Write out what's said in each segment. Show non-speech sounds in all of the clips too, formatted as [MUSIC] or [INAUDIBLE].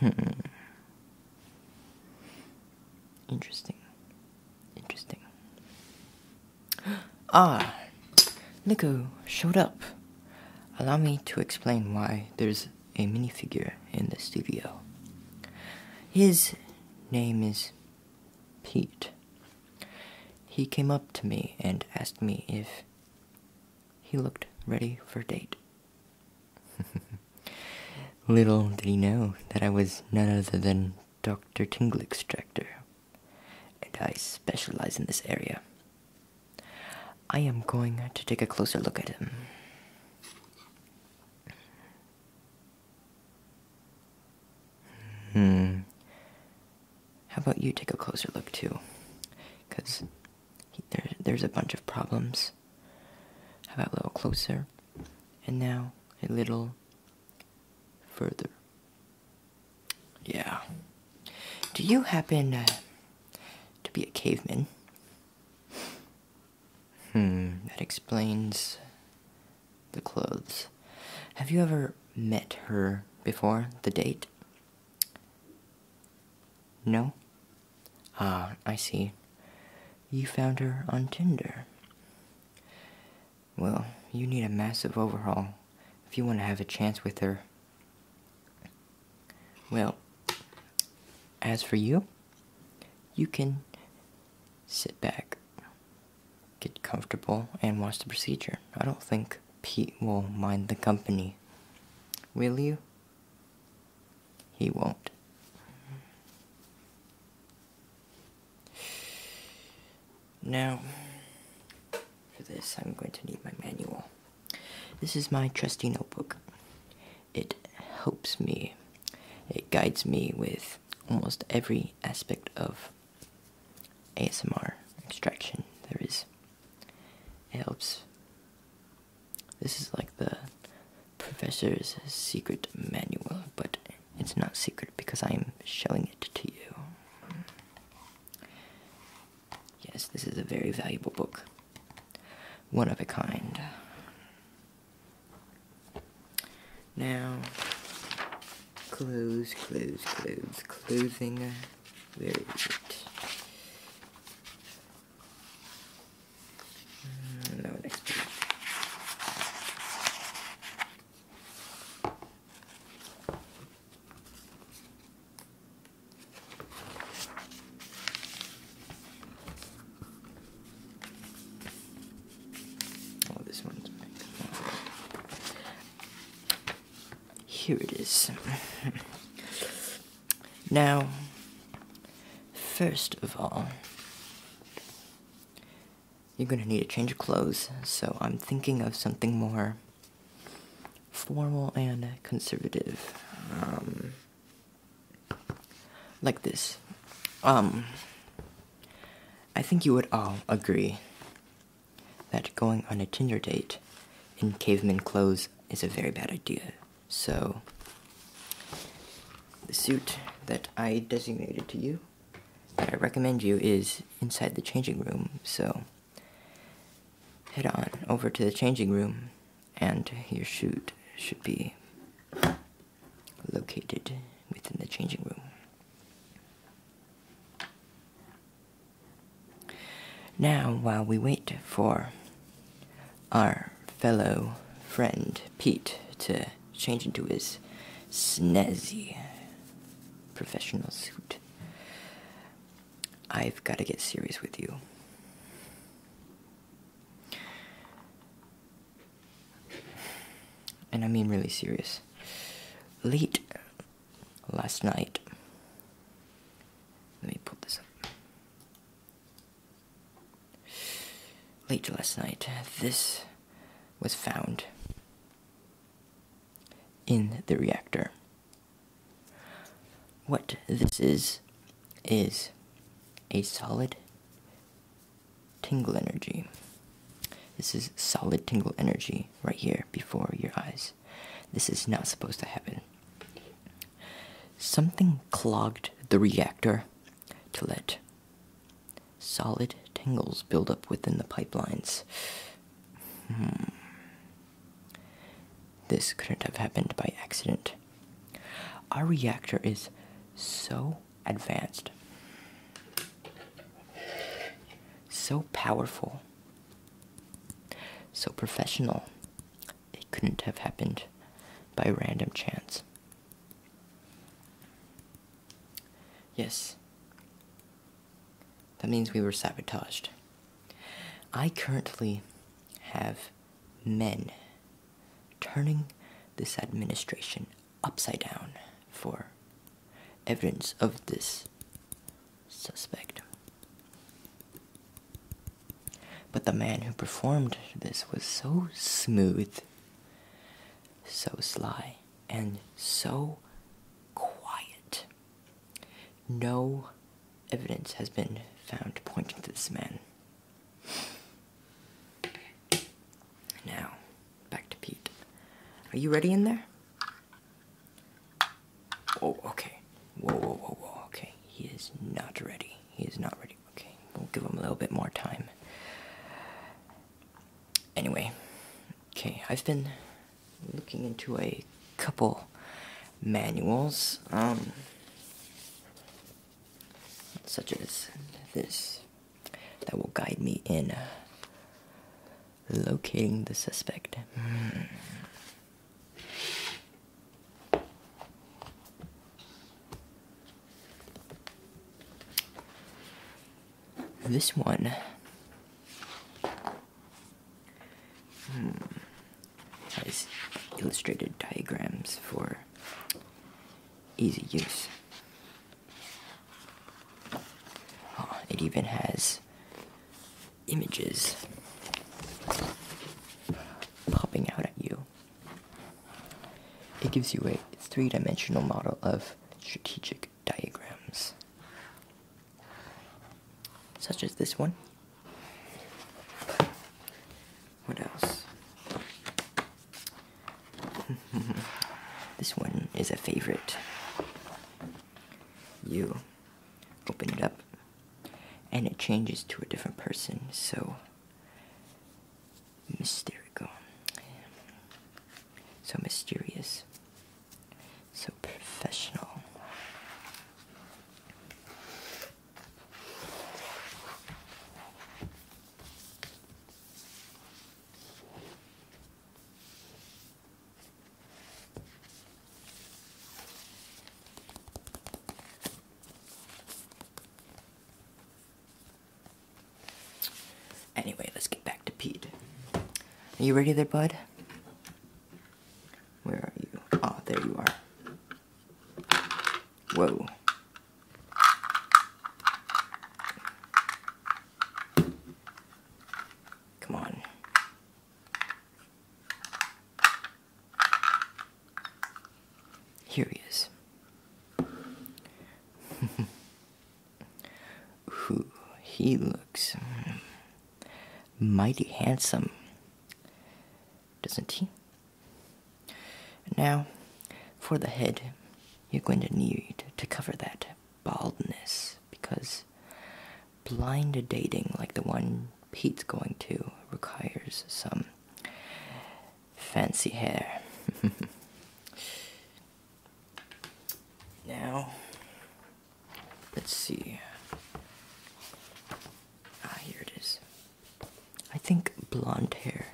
Hmm. Interesting. Interesting. [GASPS] Ah, Nico showed up. Allow me to explain why there's a minifigure in the studio. His name is Pete. He came up to me and asked me if he looked ready for date. [LAUGHS] Little did he know that I was none other than Dr. Tingle Extractor, and I specialize in this area. I am going to take a closer look at him. Hmm. How about you take a closer look too? Because there's a bunch of problems. How about a little closer? And now a little further. Yeah. Do you happen uh, to be a caveman? Hmm, that explains the clothes. Have you ever met her before the date? No? Ah, I see. You found her on Tinder. Well, you need a massive overhaul if you want to have a chance with her. Well, as for you, you can sit back get comfortable and watch the procedure. I don't think Pete will mind the company. Will you? He won't. Now, for this, I'm going to need my manual. This is my trusty notebook. It helps me, it guides me with almost every aspect of ASMR extraction there is. It helps. This is like the professor's secret manual, but it's not secret because I'm showing it to you. Yes, this is a very valuable book. One of a kind. Now, close, close, close, closing. Where is it? No, next Oh, this one's Here it is. [LAUGHS] now, first of all, you're gonna need a change of clothes, so I'm thinking of something more formal and conservative. Um, like this. Um, I think you would all agree that going on a Tinder date in caveman clothes is a very bad idea. So, the suit that I designated to you, that I recommend you, is inside the changing room. So, head on over to the changing room, and your suit should be located within the changing room. Now, while we wait for our fellow friend Pete to change into his snazzy professional suit, I've got to get serious with you and I mean really serious. Late last night, let me pull this up. Late last night, this was found in the reactor. What this is, is a solid tingle energy. This is solid tingle energy right here before your eyes. This is not supposed to happen. Something clogged the reactor to let solid tingles build up within the pipelines. Hmm. This couldn't have happened by accident. Our reactor is so advanced. So powerful. So professional. It couldn't have happened by random chance. Yes. That means we were sabotaged. I currently have men turning this administration upside down for evidence of this suspect. But the man who performed this was so smooth, so sly, and so quiet. No evidence has been found pointing to this man. Now, back to Pete. Are you ready in there? Oh, okay. Whoa, whoa, whoa, whoa. Okay, he is not ready. He is not ready. Okay, we'll give him a little bit more time. Anyway, okay, I've been looking into a couple manuals. Um, such as this that will guide me in uh, locating the suspect. Hmm. This one. Hmm. Has illustrated diagrams for easy use. Uh, it even has images popping out at you. It gives you a three dimensional model of strategic diagrams, such as this one. What else? [LAUGHS] this one is a favorite. You open it up and it changes to a different person, so mysterical. So mysterious. So professional. Anyway, let's get back to Pete. Are you ready there, bud? Where are you? Oh, there you are. Whoa. Come on. Here he is. [LAUGHS] he looks hmm, mighty handsome doesn't he? now, for the head, you're going to need to cover that baldness because blind dating, like the one Pete's going to, requires some fancy hair. [LAUGHS] now, let's see. Ah, here it is. I think blonde hair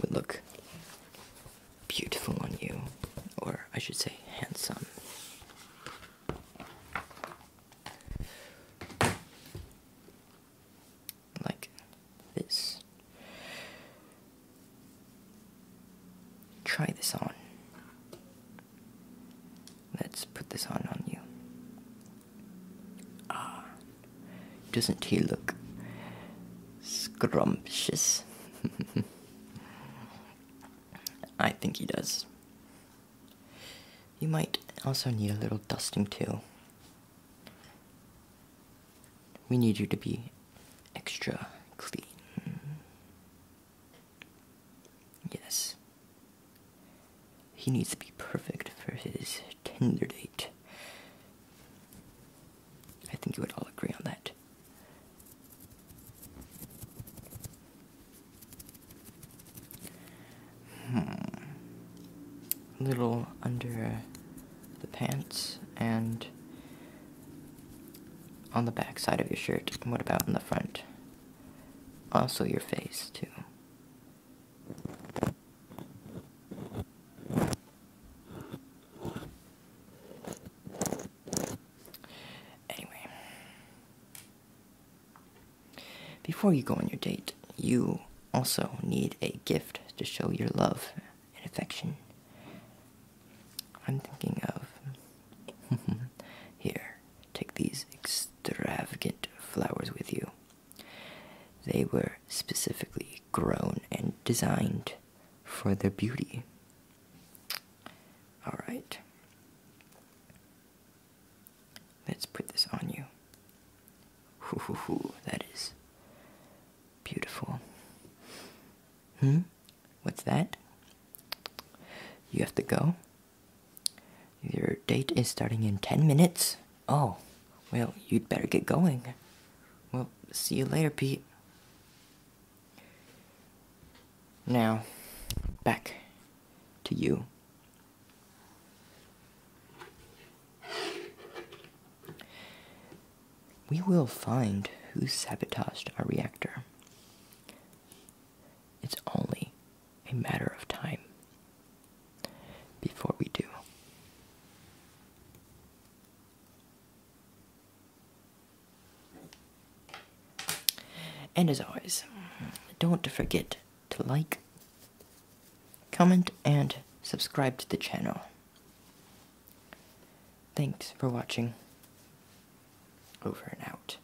would look beautiful on you, or I should say, handsome. Like this. Try this on. Let's put this on on you. Ah, doesn't he look scrumptious? [LAUGHS] I think he does. You might also need a little dusting too. We need you to be extra clean. Yes. He needs to be perfect for his Tinder date. I think you would all agree on that. Hmm. A little under the pants and on the back side of your shirt. What about in the front? Also your face, too. Anyway, before you go on your date, you also need a gift to show your love and affection. I'm thinking of [LAUGHS] here Take these extravagant flowers with you. They were specifically grown and designed for their beauty. Alright. Let's put this on you. that is beautiful. Hmm? What's that? You have to go? Your date is starting in 10 minutes? Oh, well, you'd better get going. Well, see you later, Pete. Now, back to you. We will find who sabotaged our reactor. It's only a matter of time before we do. And as always, don't forget to like, comment, and subscribe to the channel. Thanks for watching. Over and out.